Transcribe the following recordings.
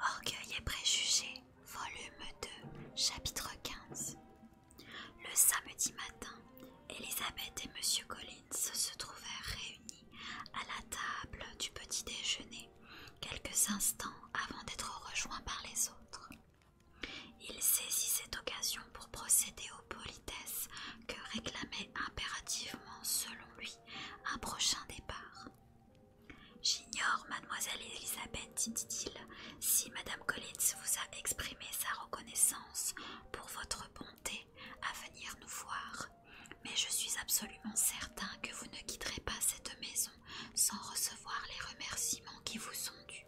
Orgueil et préjugés, volume 2, chapitre 15. Le samedi matin, Elisabeth et Monsieur Collins se trouvèrent réunis à la table du petit déjeuner quelques instants avant d'être rejoint par les autres. Il saisit cette occasion pour procéder aux politesses que réclamait impérativement, selon lui, un prochain départ. J'ignore, mademoiselle Elisabeth, dit-il, si madame Collins vous a exprimé sa reconnaissance pour votre bonté à venir nous voir, mais je suis absolument certain que vous ne quitterez pas cette maison sans recevoir les remerciements qui vous sont dus.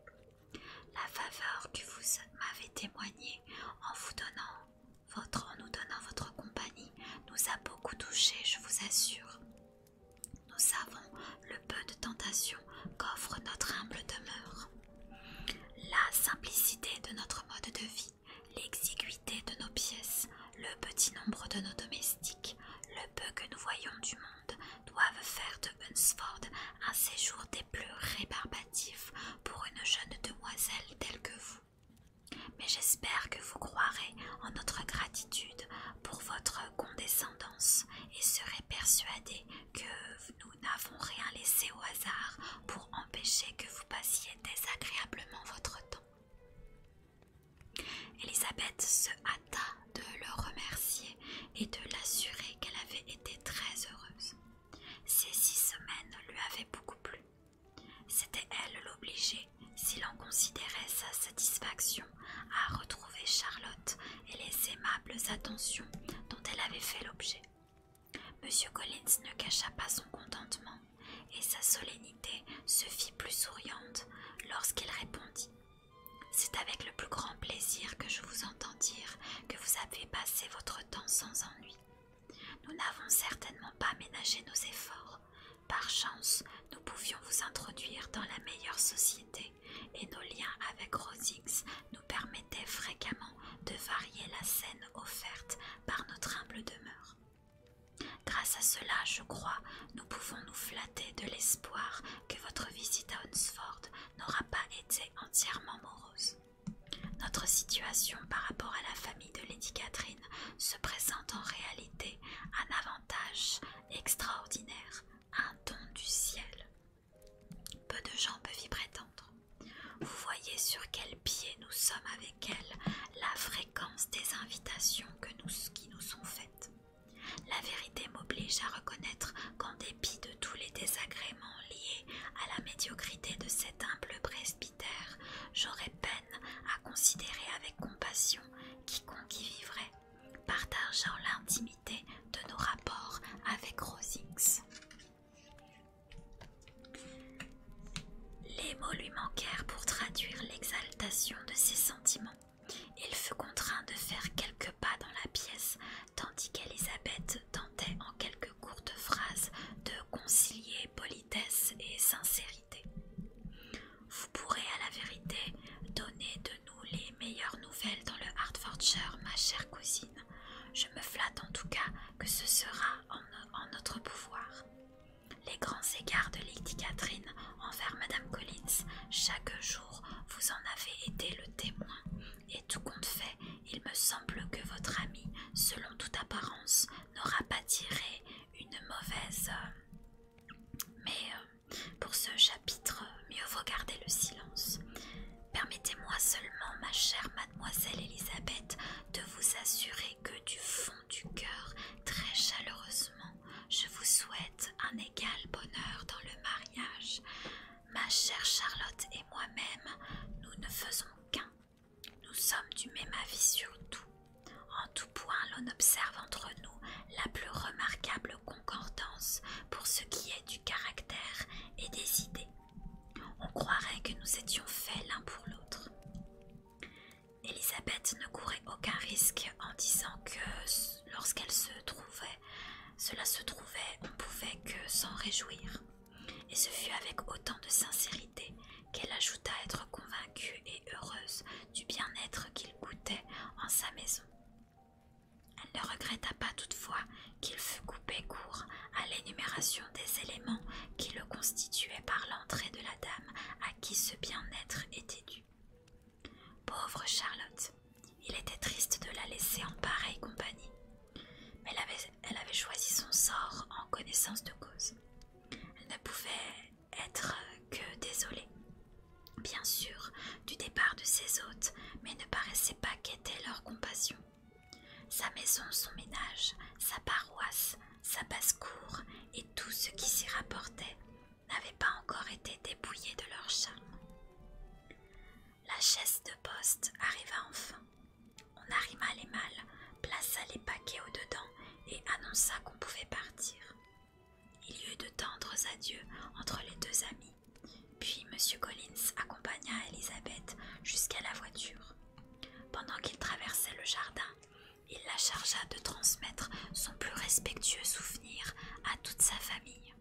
La faveur que vous m'avez témoignée en vous votre, en nous donnant votre compagnie nous a beaucoup touchés, je vous assure. Nous savons le peu de tentations qu'offre notre humble demeure. La simplicité de notre mode de vie, l'exiguïté de nos pièces le petit nombre de nos domestiques, le peu que nous voyons du monde, doivent faire de Hunsford un séjour des plus rébarbatifs pour une jeune demoiselle telle que vous. Mais j'espère que vous croirez en notre gratitude pour votre condescendance et serez persuadé que nous n'avons rien laissé au hasard pour empêcher que vous passiez désagréablement votre temps. Elisabeth se hâta de le remercier et de l'assurer qu'elle avait été très heureuse. Ces six semaines lui avaient beaucoup plu. C'était elle l'obligée, s'il en considérait sa satisfaction, à retrouver Charlotte et les aimables attentions dont elle avait fait l'objet. Monsieur Collins ne cacha pas son contentement et sa solennité se fit plus souriante lorsqu'il répondit C'est avec le plus grand plaisir que je vous entends dire que vous avez passé votre temps sans ennui. Nous n'avons certainement pas ménagé nos efforts. Par chance, nous pouvions vous introduire dans la meilleure société et nos liens avec Rosix nous permettaient fréquemment de varier la scène offerte par notre humble demeure. Grâce à cela, je crois, nous pouvons nous flatter de l'espoir que votre visite à Hunsford n'aura pas été entièrement morose. Notre situation par rapport à la famille de Lady Catherine se présente en réalité un avantage extraordinaire, un don du ciel. Peu de gens peuvent y prétendre. Vous voyez sur quel pied nous sommes avec elle, la fréquence des invitations qui nous sont faites. La vérité m'oblige à reconnaître qu'en dépit de tous les désagréments liés à la médiocrité de cet humble presbytère, j'aurais peine à considérer avec compassion quiconque y vivrait, partageant l'intimité de nos rapports avec Rosings. Les mots lui manquèrent pour traduire l'exaltation de ses sentiments. Il fut contraint de faire quelques pas dans la pièce, tandis qu'Elisabeth tentait en quelques courtes phrases de concilier politesse et sincérité. Vous pourrez à la vérité donner de nous les meilleures nouvelles dans le Hartfordshire, ma chère cousine je me flatte en tout cas que ce sera en, notre pouvoir. Les grands égards de Lady Catherine envers Madame Collins, chaque jour vous en avez été le témoin, et tout compte fait, il me semble que votre ami, selon toute apparence, n'aura pas tiré une mauvaise. Euh, mais euh, pour ce chapitre, mieux vaut garder le silence. Permettez-moi seulement, ma chère mademoiselle Elisabeth, de vous assurer que du fond du cœur, très chaleureusement, je vous souhaite un égal bonheur dans le mariage. Ma chère Charlotte et moi-même, nous ne faisons qu'un. Nous sommes du même avis sur tout. En tout point, l'on observe entre nous la plus remarquable concordance, pour ce qui est du caractère et des idées. On croirait que nous étions faits l'un pour l'autre. Élisabeth ne courait aucun risque en disant que lorsqu'elle se trouvait, cela se trouvait, on pouvait que s'en réjouir. Et ce fut avec autant de sincérité qu'elle ajouta être convaincue et heureuse du bien-être qu'il goûtait en sa maison elle ne regretta pas toutefois qu'il fût coupé court à l'énumération des éléments qui le constituaient par l'entrée de la dame à qui ce bien-être était dû. Pauvre Charlotte, il était triste de la laisser en pareille compagnie, mais elle avait, choisi son sort en connaissance de cause. Elle ne pouvait être que désolée bien sûr, du départ de ses hôtes, mais ne paraissait pas qu'était leur compassion. Sa maison, son ménage, sa paroisse, sa basse-cour et tout ce qui s'y rapportait n'avaient pas encore été dépouillés de leur charme. La chaise de poste arriva enfin. On arrima les malles, plaça les paquets au-dedans et annonça qu'on pouvait partir. Il y eut de tendres adieux entre les deux amis, puis M. Collins accompagna Elisabeth jusqu'à la voiture. Pendant qu'il traversait le jardin, il la chargea de transmettre son plus respectueux souvenir à toute sa famille,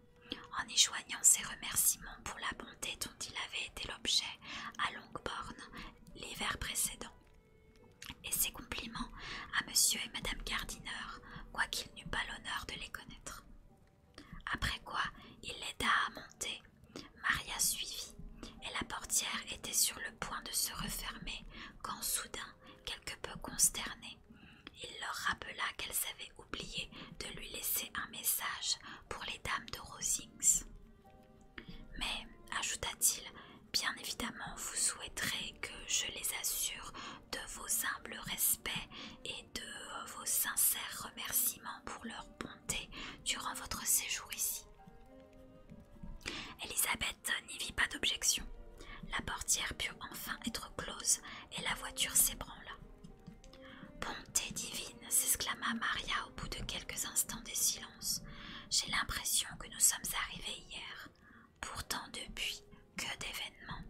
en éjoignant ses remerciements pour la bonté dont il avait été l'objet à Longbourn l'hiver précédent et ses compliments à monsieur et madame Gardiner, quoiqu'il n'eût pas l'honneur de les connaître. Après quoi il l'aida à monter, Maria suivit, et la portière était sur le point de se refermer quand soudain, quelque peu consterné, il leur rappela qu'elles avaient oublié de lui laisser un message pour les dames de Rosings. Mais, ajouta-t-il, Bien évidemment, vous souhaiterez que je les assure de vos humbles respects et de euh, vos sincères remerciements pour leur bonté durant votre séjour ici. Elisabeth n'y vit pas d'objection. La portière put enfin être close et la voiture s'ébranla. Bonté divine, s'exclama Maria au bout de quelques instants de silence. J'ai l'impression que nous sommes arrivés hier. Pourtant depuis, que d'événements.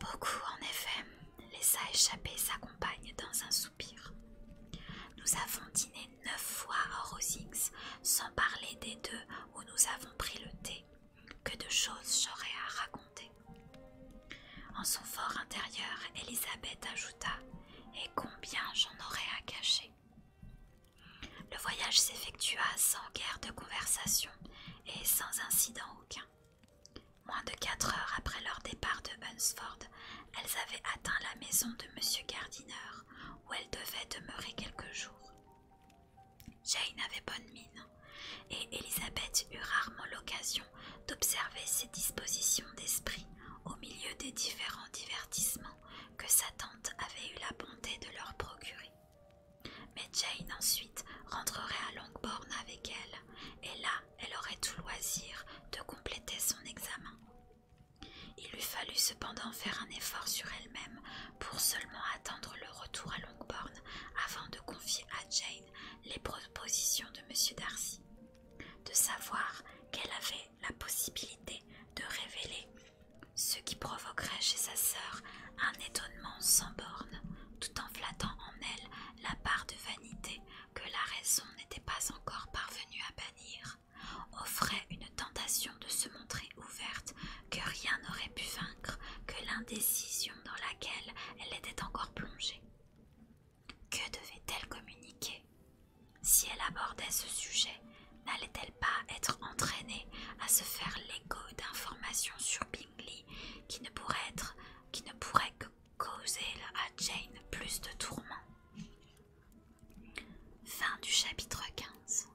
Beaucoup, en effet, laissa échapper sa compagne dans un soupir. Nous avons dîné neuf fois à Rosings, sans parler des deux où nous avons pris le thé. Que de choses j'aurais à raconter. En son fort intérieur, Elisabeth ajouta Et combien j'en aurais à cacher le voyage s'effectua sans guère de conversation et sans incident aucun. Moins de quatre heures après leur départ de Hunsford, elles avaient atteint la maison de M. Gardiner, où elles devaient demeurer quelques jours. Jane avait bonne mine, et Elizabeth eut rarement l'occasion d'observer ses dispositions d'esprit au milieu des différents divertissements que sa tante avait eu la bonté de leur procurer. Mais Jane ensuite rentrerait à Longbourn avec elle, et là elle aurait tout loisir de compléter son examen. Il lui fallut cependant faire un effort sur elle-même pour seulement attendre le retour à Longbourn avant de confier à Jane les propositions de M. Darcy de savoir qu'elle avait la possibilité de révéler ce qui provoquerait chez sa sœur un étonnement sans borne, tout en flattant en elle la part de vanité que la raison n'était pas encore parvenue à bannir, offrait une tentation de se montrer ouverte que rien n'aurait pu vaincre que l'indécision dans laquelle elle était encore plongée. Que devait-elle communiquer Si elle abordait ce sujet, n'allait-elle pas être entraînée à se faire l'écho d'informations sur Bingley qui ne pourraient que causer à Jane plus de tourments Fin du chapitre 15.